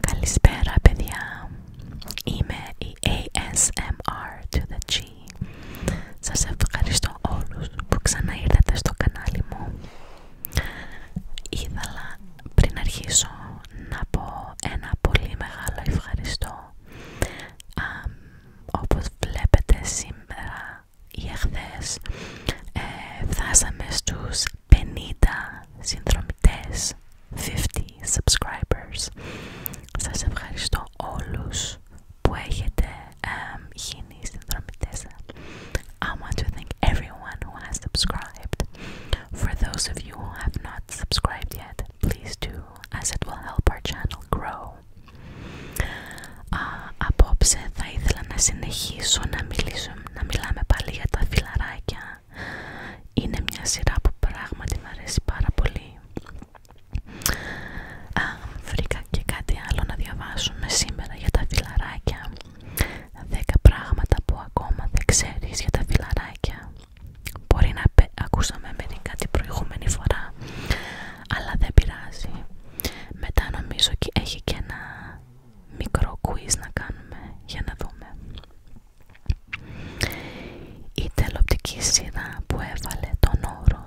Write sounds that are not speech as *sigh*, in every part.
Καλησπέρα παιδιά, είμαι η ASMR to the G. Σας ευχαριστώ όλους που ξανά στο κανάλι μου. Ήθελα πριν αρχίσω να πω ένα πολύ μεγάλο ευχαριστώ. όπως βλέπετε σήμερα ή εχθές ε, φτάσαμε στους 50 συνδρομητές 50 subscribers σας ευχαριστώ όλους που έχετε um, γίνει συνδρομητές I want to thank everyone who has subscribed for those of you who have not subscribed yet please do as it will help our channel grow απόψε θα ήθελα να συνεχίσω να μιλήσω, να μιλάμε πάλι για τα φιλαράκια. Είναι μια σειρά που πράγματι μου αρέσει πάρα πολύ. βρήκα και κάτι άλλο να διαβάσουμε σήμερα για τα φιλαράκια. Δέκα πράγματα που ακόμα δεν ξέρεις για τα φιλαράκια. Μπορεί να ακούσαμε μερικά την προηγούμενη φορά, αλλά δεν πειράζει. Μετά νομίζω ότι έχει και ένα μικρό quiz να κάνουμε για να δούμε. Η τελοπτική σειρά που έβαλε τον όρο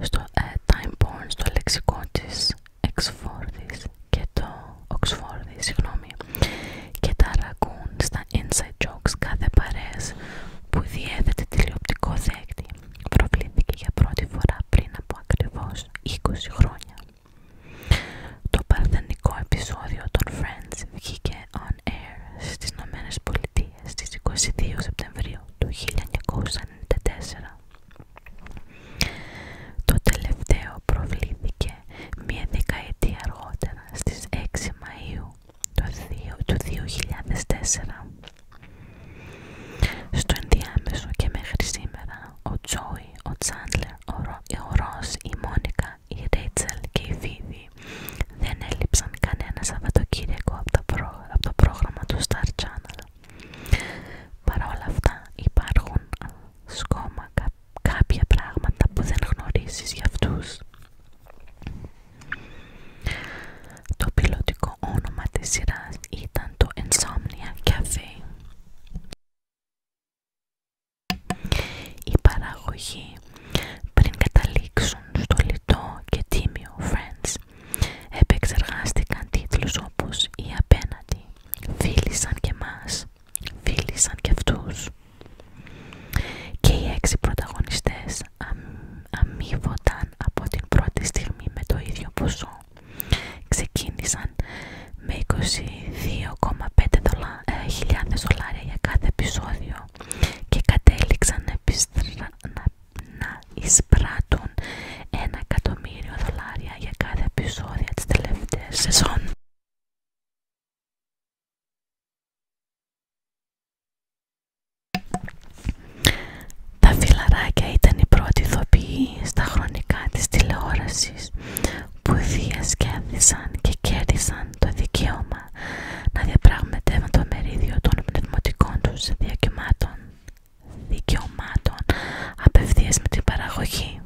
στο ε, Time Born, στο λεξικό της Εξφόρδης και το Oxford, συγγνώμη, και τα ρακούν στα inside jokes κάθε παρές που διέθετε τηλεοπτικό δέκτη. Προβλήθηκε για πρώτη φορά πριν από ακριβώς 20 χρόνια. Το παρθενικό επεισόδιο των Friends βγήκε on air στις Ηνωμένε Πολιτείες στις 22 Σεπτεμβρίου του 1994. Το τελευταίο προβλήθηκε μία δεκαετία αργότερα στις 6 Μαΐου του 2004 στο ενδιάμεσο και μέχρι σήμερα, ο Τζόι, ο Τσάντλερ, ο ε, Ρος, η Μόνικα, η Ρέιτσελ και η Φίδη δεν έλειψαν κανένα Σαββατοκύριακο από το, από το πρόγραμμα του Star Channel. Παρ' όλα αυτά υπάρχουν σκόμα κάποια πράγματα που δεν γνωρίζεις για αυτούς. Το πιλωτικό όνομα της σειράς ήταν το Insomnia Cafe. Η παραγωγή πριν καταλήξουν στο λιτό και τίμιο Friends επεξεργάστηκαν τίτλους όπως «Η απέναντι», «Φίλησαν και μας», «Φίλησαν και αυτούς» και οι έξι πρωταγωνιστές αμείβονταν από την πρώτη στιγμή με το ίδιο ποσό Ξεκίνησαν με 22,5 ε, χιλιάδες δολάρια για κάθε επεισόδιο και κατέληξαν να, να εισπράττουν 1 εκατομμύριο δολάρια για κάθε επεισόδιο της τελευταίας σεζόν. Τα φιλαράκια ήταν οι πρώτοι ηθοποιοί στα χρονικά της τηλεόρασης που διασκέδησαν και κέρδισαν το δικαίωμα να διαπραγματεύουν το μερίδιο των πνευματικών τους διακυμάτων δικαιωμάτων απευθείας με την παραγωγή.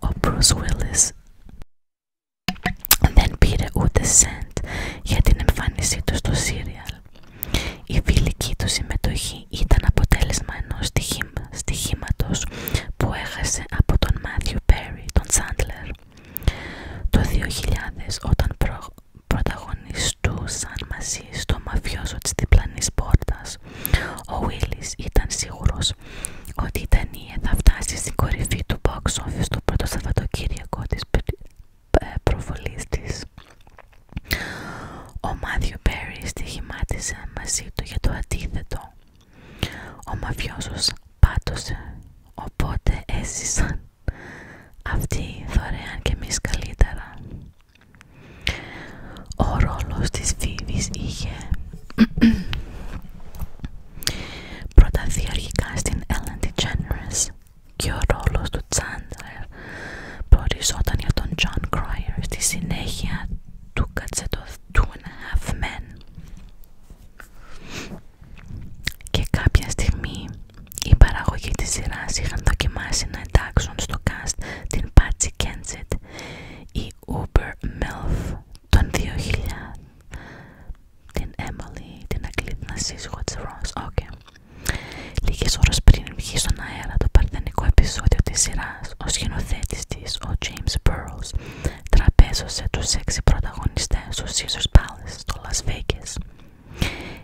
Ο Bruce δεν πήρε ούτε σεντ για την εμφάνισή του στο σύριαλ. Η φιλική του συμμετοχή ήταν αποτέλεσμα ενός που έχασε από τον Μάθιου Πέρι, τον Σάντλερ. Το 2000 όταν πρωταγωνιστούσαν μαζί στο μαφιόζο της διπλανής πόρτας, ο Βίλις ήταν σίγουρος ότι η θα φτάσει στην κορυφή του box office το πρώτο Σαββατοκύριακο της ε, προβολής της. Ο Μάθιου Μπέρι στοιχημάτισε μαζί του για το αντίθετο. Ο Μαφιόσος πάτωσε, οπότε έζησαν αυτοί δωρεάν και εμείς καλύτερα. Ο ρόλος της Φίβης είχε προταθεί αρχικά στην Ellen DeGeneres και ο ρόλος του Chandler προοριζόταν για τον John Cryer στη συνέχεια του κατσέτο Two and a Half Men και κάποια στιγμή οι παραγωγοί της σειράς είχαν δοκιμάσει να εντάξουν στο cast την Patsy Kensit η Uber Melf των 2000 την Emily, την Ακλήτνα σύζυγο της Ρος. Okay. Λίγες ώρες πριν βγει στον αέρα το παρθενικό επεισόδιο της σειράς, ο σκηνοθέτης της, ο James Burroughs, τραπέζωσε τους έξι πρωταγωνιστές στο Caesars Palace στο Las Vegas.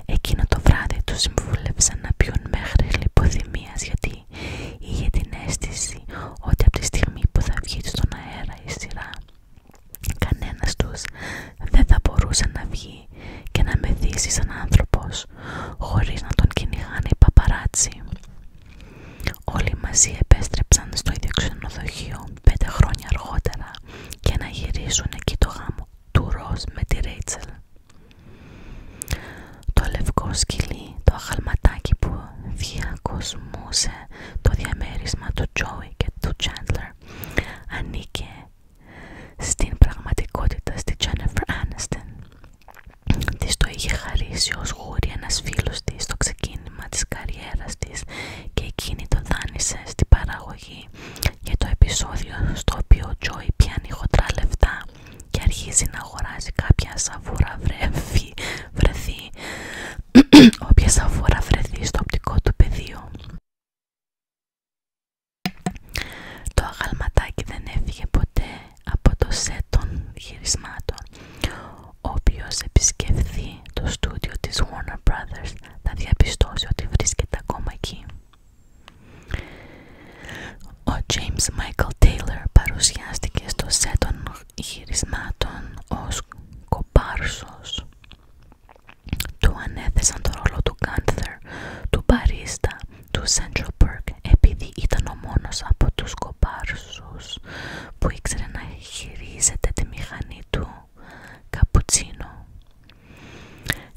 Εκείνο το βράδυ τους συμβούλεψαν να πιούν μέχρι λιποθυμίας γιατί είχε την αίσθηση ότι από τη στιγμή που θα βγει στον αέρα η σειρά Κανένας τους δεν θα μπορούσε να βγει και να μεθύσει σαν άνθρωπος χωρίς να τον κυνηγάνε οι παπαράτσι. Όλοι μαζί επέστρεψαν στο ίδιο ξενοδοχείο πέντε χρόνια αργότερα και να γυρίσουν εκεί το γάμο του Ροζ με τη Ρέιτσελ. Το λευκό σκυλί, το αγαλματάκι που διακοσμούσε το διαμέρισμα του Τζόι και του Τσάντλερ ανήκε στην πραγματικότητα στη Jennifer Aniston. Της το είχε χαρίσει ως γούρι ένας της στο ξεκίνημα της καριέρας της και εκείνη το δάνεισε στη παραγωγή για το επεισόδιο στο οποίο ο Τζόι πιάνει χοντρά λεφτά και αρχίζει να αγοράζει κάποια σαβούρα βρεθεί, *clears throat* όποια σαβούρα βρεθεί στο οπτικό του πεδίο. Το αγαλματάκι δεν έφυγε ποτέ από το σετ των γυρισμάτων. Όποιος επισκεφθεί το στούντιο της Warner Brothers θα διαπιστώσει ότι βρίσκεται ακόμα εκεί. Ο James Michael Taylor παρουσιάστηκε στο σετ των γυρισμάτων ως κοπάρσος του ανέθεσαν τον ρόλο του Κάνθερ, του Παρίστα, του Central Park επειδή ήταν ο μόνος από τους κομπάρσους που ήξερε να χειρίζεται τη μηχανή του καπουτσίνο.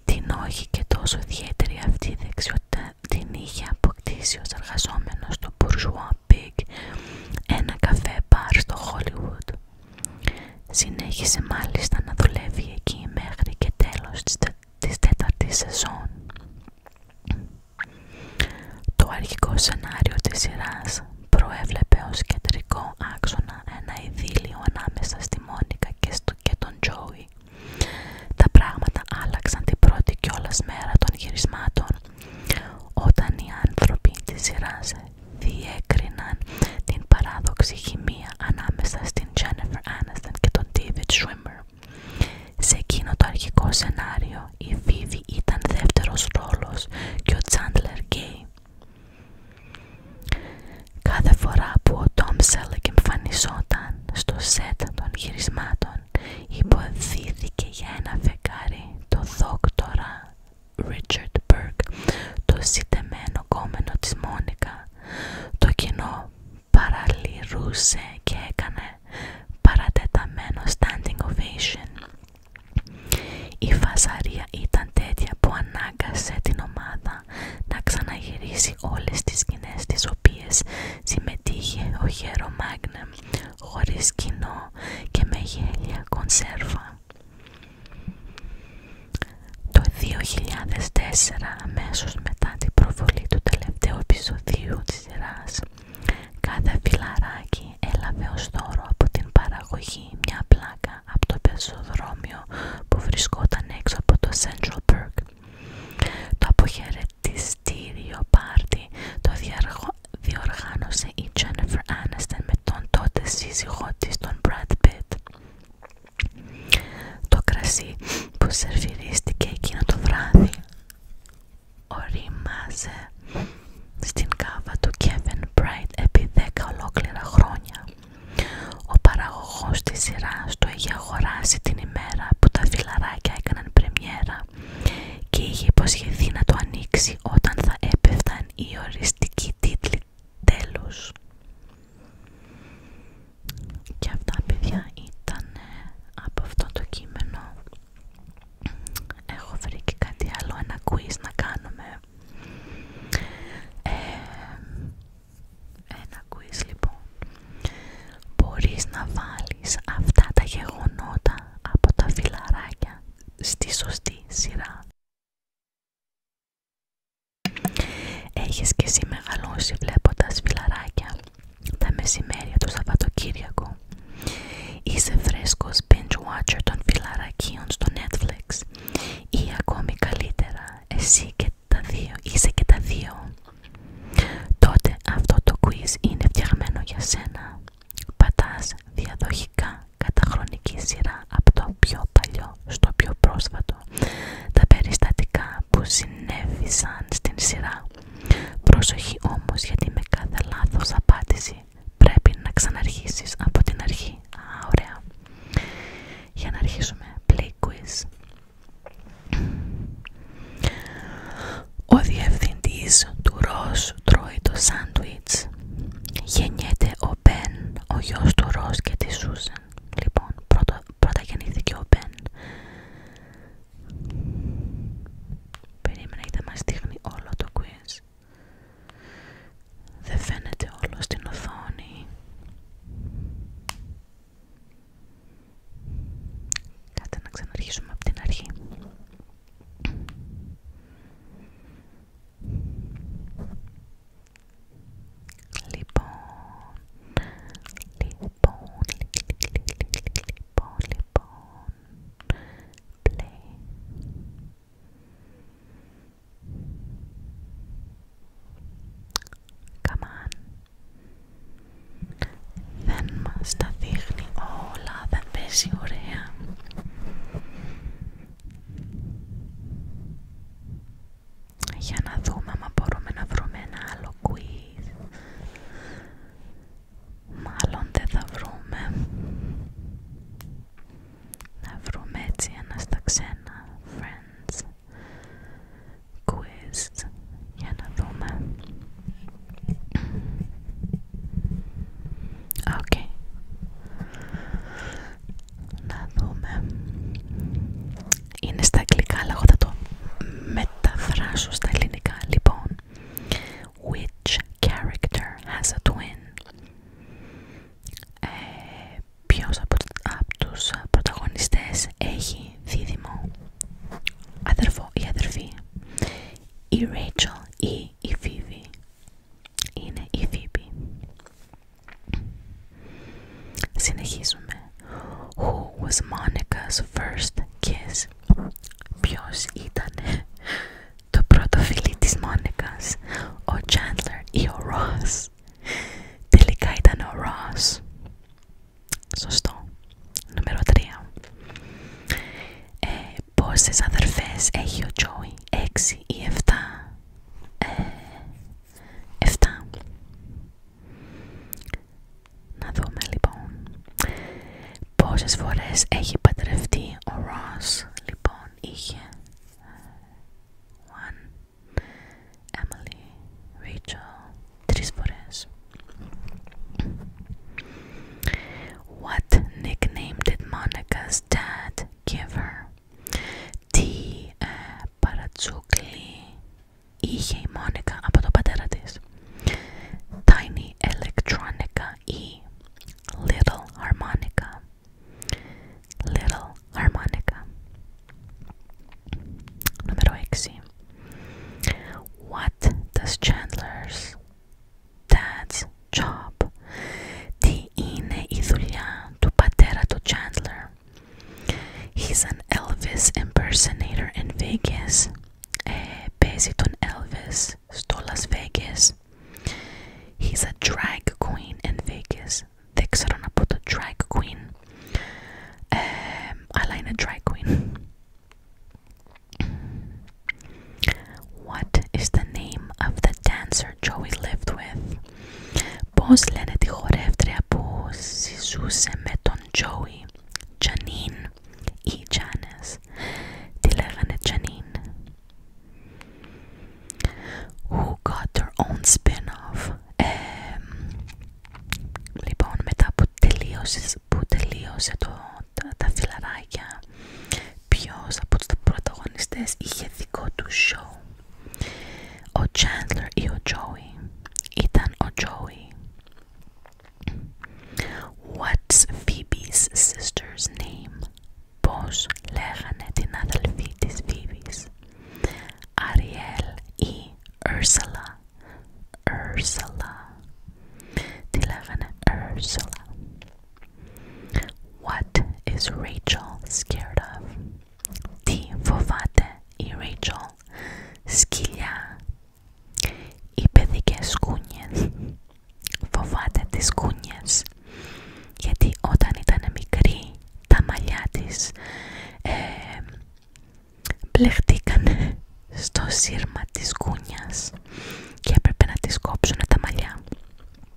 Την όχι και τόσο ιδιαίτερη αυτή η δεξιότητα την είχε αποκτήσει ως εργαζόμενος στο Bourgeois Pig, ένα καφέ μπαρ στο Hollywood. Συνέχισε μάλιστα να δουλεύει εκεί μέχρι και τέλος της, τε, τέταρτης σεζόν. Το αρχικό σενάριο της σειράς προέβλεπε ως κεντρικό άξονα ένα ειδήλιο ανάμεσα στη Μόνικα και, στο, και τον Τζόι. Τα πράγματα άλλαξαν την πρώτη κιόλας μέρα των γυρισμάτων όταν οι άνθρωποι της σειράς διέκριναν την παράδοξη χημεία ανάμεσα στην Jennifer Aniston και τον David Schwimmer. Σε εκείνο το αρχικό σενάριο η Βίβι ήταν δεύτερος ρόλος και ο Chandler Gay. Κάθε φορά που ο Tom Selleck εμφανιζόταν στο σετ των γυρισμάτων υποδίθηκε για ένα φεγγάρι το δόκτωρα. Richard Burke, το συντεμένο κόμενο της Μόνικα. Το κοινό παραλυρούσε και έκανε παρατεταμένο standing ovation. Η φασαρία ήταν τέτοια που ανάγκασε την ομάδα να ξαναγυρίσει όλες τις σκηνές τις οποίες συμμετείχε ο Χέρο Μάγνεμ χωρίς κοινό και με γέλια κονσέρβα. Το 2004, αμέσως μετά την προβολή του τελευταίου επεισοδίου της σειράς, κάθε φιλαράκι έλαβε ως δώρο από την παραγωγή μια πλάκα από το πεζοδρόμιο που βρισκόταν έξω από το Central Park. Το αποχαιρετιστήριο πάρτι το διοργάνωσε η Jennifer Aniston με τον τότε σύζυγό της, τον Brad Pitt το κρασί που σερφιρίστηκε εκείνο το βράδυ ορίμαζε στην κάβα του Kevin Bright επί 10 ολόκληρα χρόνια. Ο παραγωγός της σειράς το είχε αγοράσει την ημέρα που τα φιλαράκια έκαναν πρεμιέρα και είχε υποσχεθεί να το ανοίξει όταν θα έπεφταν οι οριστικοί τίτλοι τέλος και αυτά παιδιά ήταν από αυτό το κείμενο έχω βρει και κάτι άλλο ένα quiz να κάνουμε ε, ένα quiz λοιπόν μπορείς να βάλεις αυτά τα γεγονότα από τα φιλαράκια στη σωστή σειρά Έχεις και εσύ μεγαλώσει βλέποντας φιλαράκια τα μεσημέρια του Σαββατοκύριακου. Είσαι φρέσκος binge των φιλαρακίων στο Netflix ή ακόμη καλύτερα εσύ και τα δύο, είσαι και τα δύο. Τότε αυτό το quiz είναι φτιαγμένο για σένα. Πατάς διαδοχικά κατά χρονική σειρά από το πιο παλιό στο πιο πρόσφατο τα περιστατικά που συνέβησαν στην σειρά. Προσοχή όμως γιατί με κάθε λάθος απάντηση πρέπει να ξαναρχίσεις από την αρχή. Α, ωραία. Για να αρχίσουμε. Play quiz. Ο διευθυντής του Ρος τρώει το γεννιέται ο Μπεν, ο γιος του Ρος και της Σούζεν. Λοιπόν, πρώτα, γεννήθηκε ο Μπεν. περίμενε γιατί μας δείχνει όλο το quiz. Δεν φαίνεται όλο στην οθόνη. Κάτσε να ξαναρχίσουμε από την αρχή. Λοιπόν, λοιπόν, λοιπόν, λοιπόν, λοιπόν, καμάν, Καμάν, Δεν μας τα δείχνει όλα, δεν παίζει ωραία. Για να δούμε αν μπορούμε να βρούμε ένα άλλο quiz. Μάλλον δεν θα βρούμε. Να βρούμε έτσι ένα στα ξένα. Friends. Quiz. Για να δούμε. Οκ. Okay. Να δούμε. Είναι στα αγγλικά, αλλά εγώ θα το μεταφράσω στα ελληνικά. Λοιπόν, which character has a twin? Ε, ποιος από, του τους πρωταγωνιστές έχει δίδυμο, αδερφό ή αδερφή. Η Rachel ή η Phoebe. Είναι η Phoebe. Συνεχίζουμε. Who was Monica's first kiss? Ποιος ήταν το πρώτο φίλι της Μόνικας, ο Chandler ή ο Ross. Τελικά ήταν ο Ross. Σωστό. Νούμερο 3. Ε, πόσες αδερφές έχει ο Joey, 6 ή 7. Εφτά. Να δούμε λοιπόν πόσες φορές έχει πατρευτεί ο Ρος Λοιπόν είχε One Emily Rachel Τρεις φορές What nickname did Monica's dad give her? τι παρατσούκλι είχε η Μόνικα από τον πατέρα της. Tiny Electronica ή Little Harmonica. Little Harmonica. Νούμερο 6. What does Chandler's dad's job? Τι είναι η δουλειά to Patera to Chandler. He's an Elvis impersonator in Vegas. Eh, based on Elvis, Stole Las Vegas. He's a drag queen in Vegas. Δεν ξέρω να πω το drag queen. Alina eh, drag queen. What is the name of the dancer Joey lived with? Πώς λένε τη χορεύτρια που συζούσε με τον Τζόι, Τζανίν ή Τζάνες. τι λέγανε Τζανίν. Who got their own spin-off. Ε, λοιπόν, μετά που τελείωσε, που το, τα, φιλαράκια, ποιος από τους πρωταγωνιστές είχε δικό του show. o Chandler O Joey, Ethan o Joey. What's Phoebe's sister's name? Πώς λέγανε την αδελφή της Phoebe's? Ariel ή Ursula. Ursula. Τι λέγανε Ursula. What is Rachel scared of? Τι φοβάται η Rachel σκυλιά οι παιδικές σκούνιες φοβάται τις σκούνιες γιατί όταν ήταν μικρή τα μαλλιά της ε, στο σύρμα της σκούνιας και έπρεπε να τη κόψουν τα μαλλιά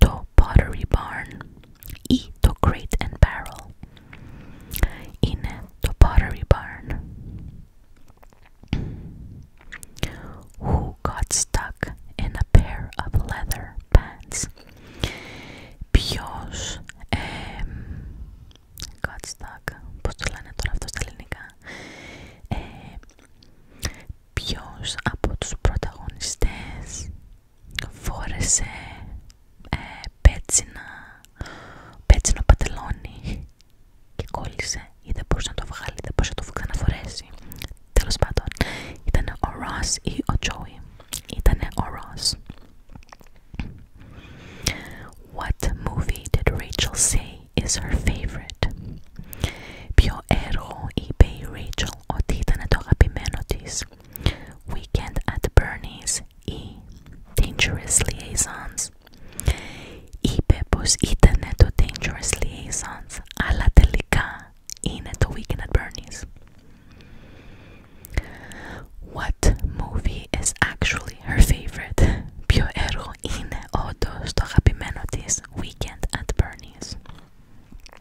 to pottery barn i to crate and barrel in the pottery barn who got stuck in a pair of leather pants ποιος um, got stuck πώς το λένε τώρα αυτό στα ελληνικά ποιος από τους πρωταγωνιστές φόρεσε ε, πέτσινα, πέτσινο πατελόνι και κόλλησε ή δεν μπορούσε να το βγάλει, δεν μπορούσε να το ξαναφορέσει. Τέλος πάντων, ήταν ο Ροσ ή ο Τζόι. Ήταν ο Ροσ. What movie did Rachel say is her favorite? Ποιο έργο είπε η Rachel ότι ήταν το αγαπημένο της Weekend at Bernie's ή Dangerous Liaisons Είπε πως ήταν το Dangerous Liaisons αλλά τελικά είναι το Weekend at Bernie's What movie is actually her favorite? Ποιο έργο είναι to το της Weekend at Bernie's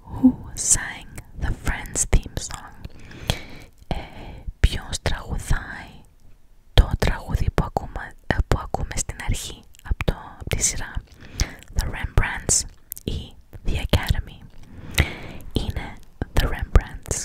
Who sang the Friends theme song? Ε, ποιος τραγουδάει το τραγούδι που ακούμε, ε, που ακούμε στην αρχή από, το, από τη σειρά The Rembrandts ή The Academy είναι The Rembrandts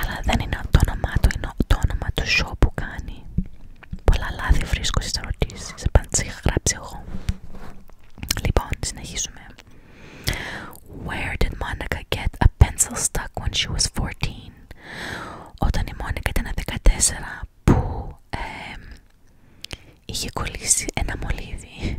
αλλά δεν είναι το όνομά του, είναι το όνομα του show που κάνει. Πολλά λάθη βρίσκω στις ερωτήσεις, είχα γράψει εγώ. Λοιπόν, συνεχίζουμε. Where did Monica get a pencil stuck when she was 14? Όταν η Μόνικα ήταν 14, που είχε κολλήσει ένα μολύβι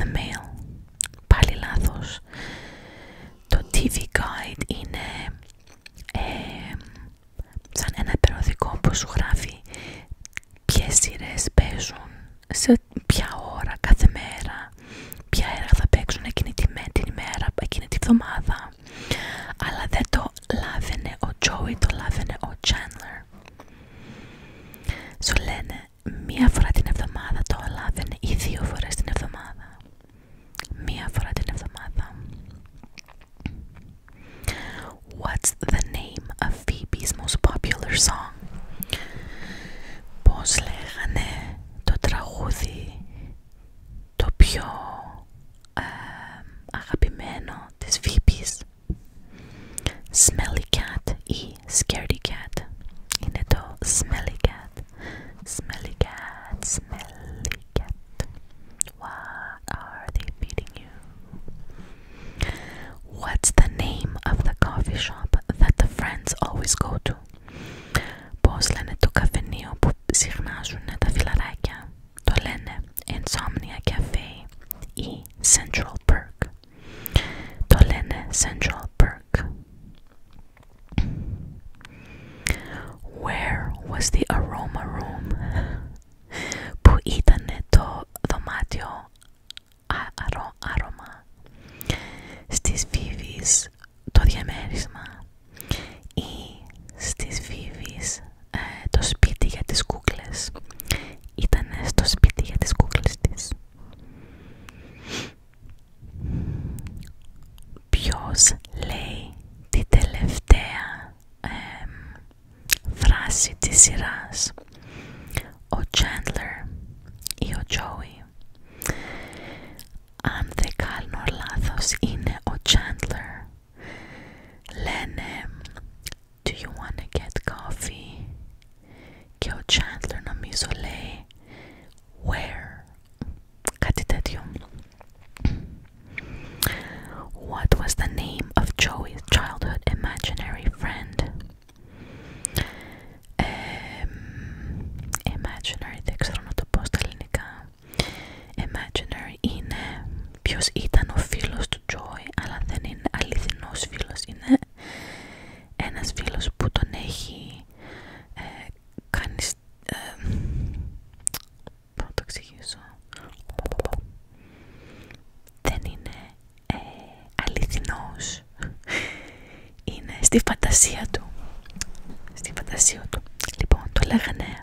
the mail? Πάλι λάθος. Το TV guide είναι σαν ένα περιοδικό που σου γράφει ποιες σειρές παίζουν, σε ποια ώρα κάθε μέρα, ποια έργα θα παίξουν εκείνη τη, μέρα, εκείνη τη βδομάδα. Αλλά δεν το λάβαινε ο Τζόι, το λάβαινε ο Chandler. Σου λένε μία φορά την εβδομάδα το λάβαινε ή δύο φορές την εβδομάδα. Μία φορά την εβδομάδα. What's the name of Phoebe's most popular song? Πώς λέγανε το τραγούδι το πιο ε, ehm, αγαπημένο της Βίπης Smelly Cat E. Scaredy Cat είναι το Smelly Cat Smelly Cat, Smelly Cat What are they feeding you? What's the name of the coffee shop that the friends always go to? Πώς λένε το καφενείο που συχνάζουν το λένε insomnia ή central Park. το λένε central Park. Where was the aroma room? που ήτανε το δωμάτιο αρώμα στις βίβεις το διαμέρισμα ή στις βίβεις ε, το σπίτι για τις κούκλες. Ήταν στο σπίτι για τις κούκλες της. Ποιος λέει τη τελευταία φράση της σειράς. Ο Chandler ή ο Joey. Αν δεν κάνω λάθος είναι ο Chandler Lennon, um, do you wanna get coffee? Kyo Chandler no misole. Where? Katitatio. What was the name of Joey's childhood imaginary friend? Um, imaginary, δεν ξέρω να το πω Imaginary είναι ποιος ήταν ο φίλος του Joy αλλά δεν είναι αληθινός φίλος είναι ένας φίλος που τον έχει ε, κάνει ε, να το εξηγήσω δεν είναι ε, είναι στη φαντασία του στη φαντασία του λοιπόν το λέγανε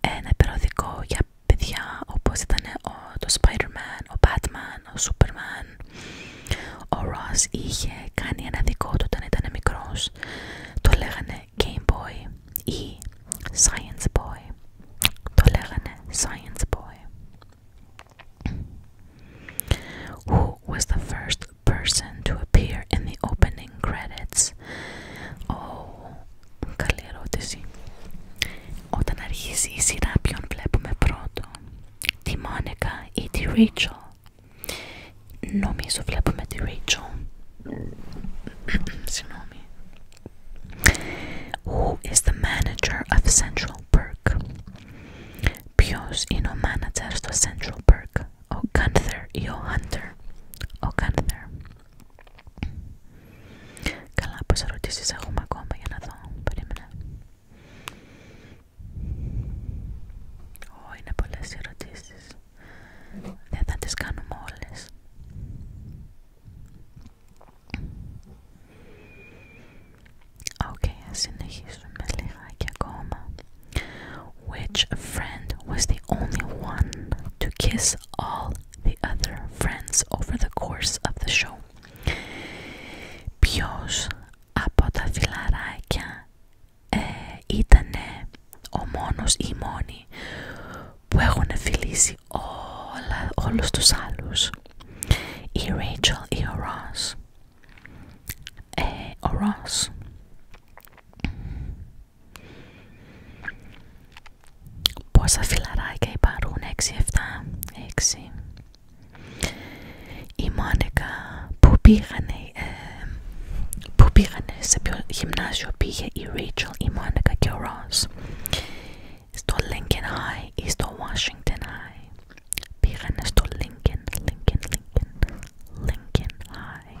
ένα περιοδικό για παιδιά όπως ήταν ο, το Spider-Man, ο Batman, ο Superman. Ο Ross είχε κάνει ένα δικό του όταν ήταν μικρός. Το λέγανε Game Boy ή Science Boy. Το λέγανε Science Boy. Who was the first person to appear in the opening credits καλή ερώτηση. Όταν αρχίσει η σειρά ποιον βλέπουμε πρώτο, τη Μόνικα ή τη Ρίτσο, Νομίζω βλέπουμε τη Ρίτσο, *clears throat* Συγγνώμη. Who is the manager of Central Park? Ποιος είναι ο manager στο Central Park? Ο Gunther ή ο Hunter? Ο Gunther. Καλά, πόσε ερωτήσει έχουμε ακόμα για να δω. Περίμενα. Ω, είναι πολλέ ερωτήσει. Δεν θα τι κάνουμε όλε. Οκ, ας συνεχίσουμε λιγάκι ακόμα. Which friend was the only one to kiss all the other friends over the course of the show. Ποιος από τα φιλαράκια ε, ήταν ο μόνος ή η μόνη που έχουν φιλήσει όλα, όλους τους άλλους. Η Rachel ή ο Ross. Ε, ο Ross. Πόσα φιλαράκια υπάρχουν, 6-7, 6. Η Μόνικα που πήγανε, ε, που πήγανε σε ποιο γυμνάσιο πήγε η Ρέιτσελ, η Μόνικα και ο Ρος. Στο Lincoln High ή στο Washington High. Πήγανε στο Lincoln, Lincoln, Lincoln, Lincoln High.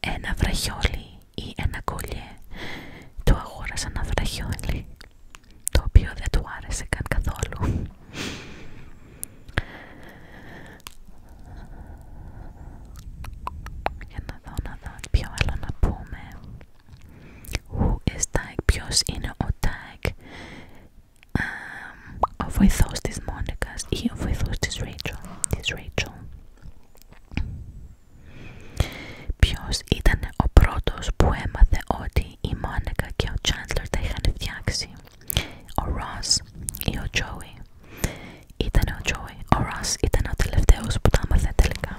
ένα βραχιόλι ή ένα κολλιέ του αγόρασα ένα βραχιόλι το οποίο δεν του άρεσε καν καθόλου για να δω να δω ποιο άλλο να πούμε Who is tag, ποιος είναι ο tag ο βοηθός της Μόνικας ή ο βοηθός της Rachel, της Rachel. πιος ήταν ο πρώτος που έμαθε ότι η Μόνικα και ο Τσάντλερ τα είχαν φτιάξει. Ο ή ο Τζόι Ήταν ο Τζόι, Ο ήταν ο τελευταίος που τα έμαθε τελικά.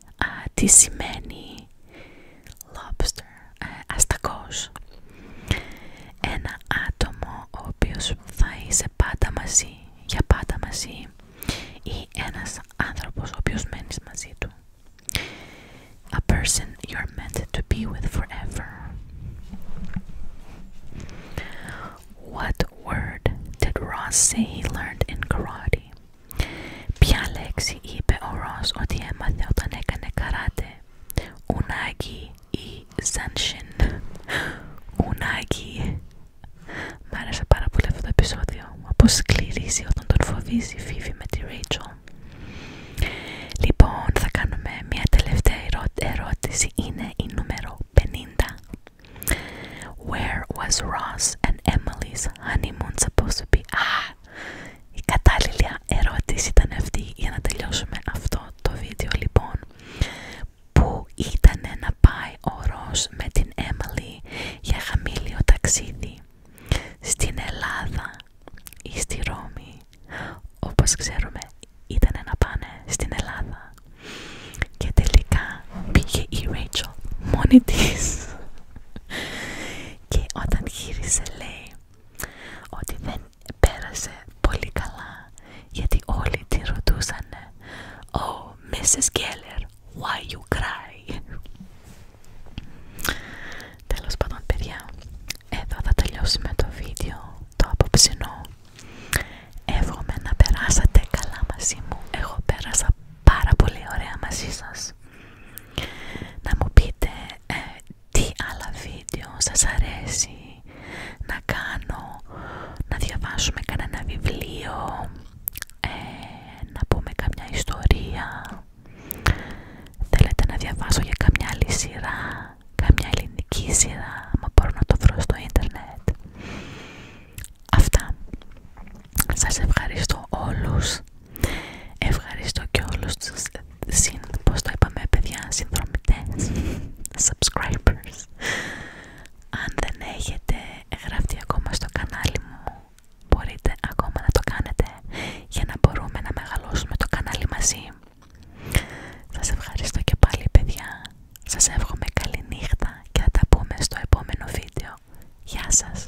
α, τι σημαίνει lobster, α, αστακός. Ένα άτομο ο οποίος θα είσαι πάντα μαζί, για πάντα μαζί ή ένας άνθρωπος ο οποίος μένεις μαζί του. A person you're meant to be with forever. What word did Ross say he learned in karate? Ποια λέξη είπε ο Ρος ότι έμαθε όταν έκανε καράτε. Ουνάκι ή Ζανσιν. Ουνάκι. Μ' άρεσε πάρα πολύ αυτό το επεισόδιο. Όπως σκληρίζει όταν τον φοβίζει η ζανσιν ουναγκη μ αρεσε παρα πολυ αυτο το επεισοδιο οπως σκληριζει οταν τον φοβιζει η με τη Ρέιτζο. Λοιπόν, θα κάνουμε μια τελευταία ερώτηση. Είναι η νούμερο 50. Where was Ross and Emily's honeymoon supposed to be? Η κατάλληλη ερώτηση ήταν αυτή για να τελειώσουμε αυτό το βίντεο λοιπόν που ήταν να πάει ο Ρος με την Έμαλι για χαμήλιο ταξίδι στην Ελλάδα ή στη Ρώμη όπως ξέρουμε ήταν να πάνε στην Ελλάδα και τελικά πήγε η Ρέιτσο μόνη της και όταν γύρισε λέει ότι δεν πέρασε πολύ καλά γιατί όλοι τη ρωτούσανε «Oh, Mrs. Keller, why you cry» Τέλος πάντων παιδιά, εδώ θα τελειώσουμε το βίντεο, το απόψινό Εύχομαι να περάσατε καλά μαζί μου, έχω πέρασα πάρα πολύ ωραία μαζί σας να μου πείτε ε, τι άλλα βίντεο σας αρέσει να κάνω, να διαβάσουμε κανένα βιβλίο, ε, να πούμε καμιά ιστορία. Θέλετε να διαβάσω για καμιά άλλη σειρά, καμιά ελληνική σειρά, μα μπορώ να το βρω στο ίντερνετ. Αυτά. Σας ευχαριστώ όλους. Ευχαριστώ και όλους τους συν, πώς το παιδιά, συνδρομητές, subscribers. Αν δεν έχετε γραφτεί ακόμα στο κανάλι μου, μπορείτε ακόμα να το κάνετε για να μπορούμε να μεγαλώσουμε το κανάλι μαζί. Σας ευχαριστώ και πάλι παιδιά. Σας εύχομαι καλή νύχτα και θα τα πούμε στο επόμενο βίντεο. Γεια σας!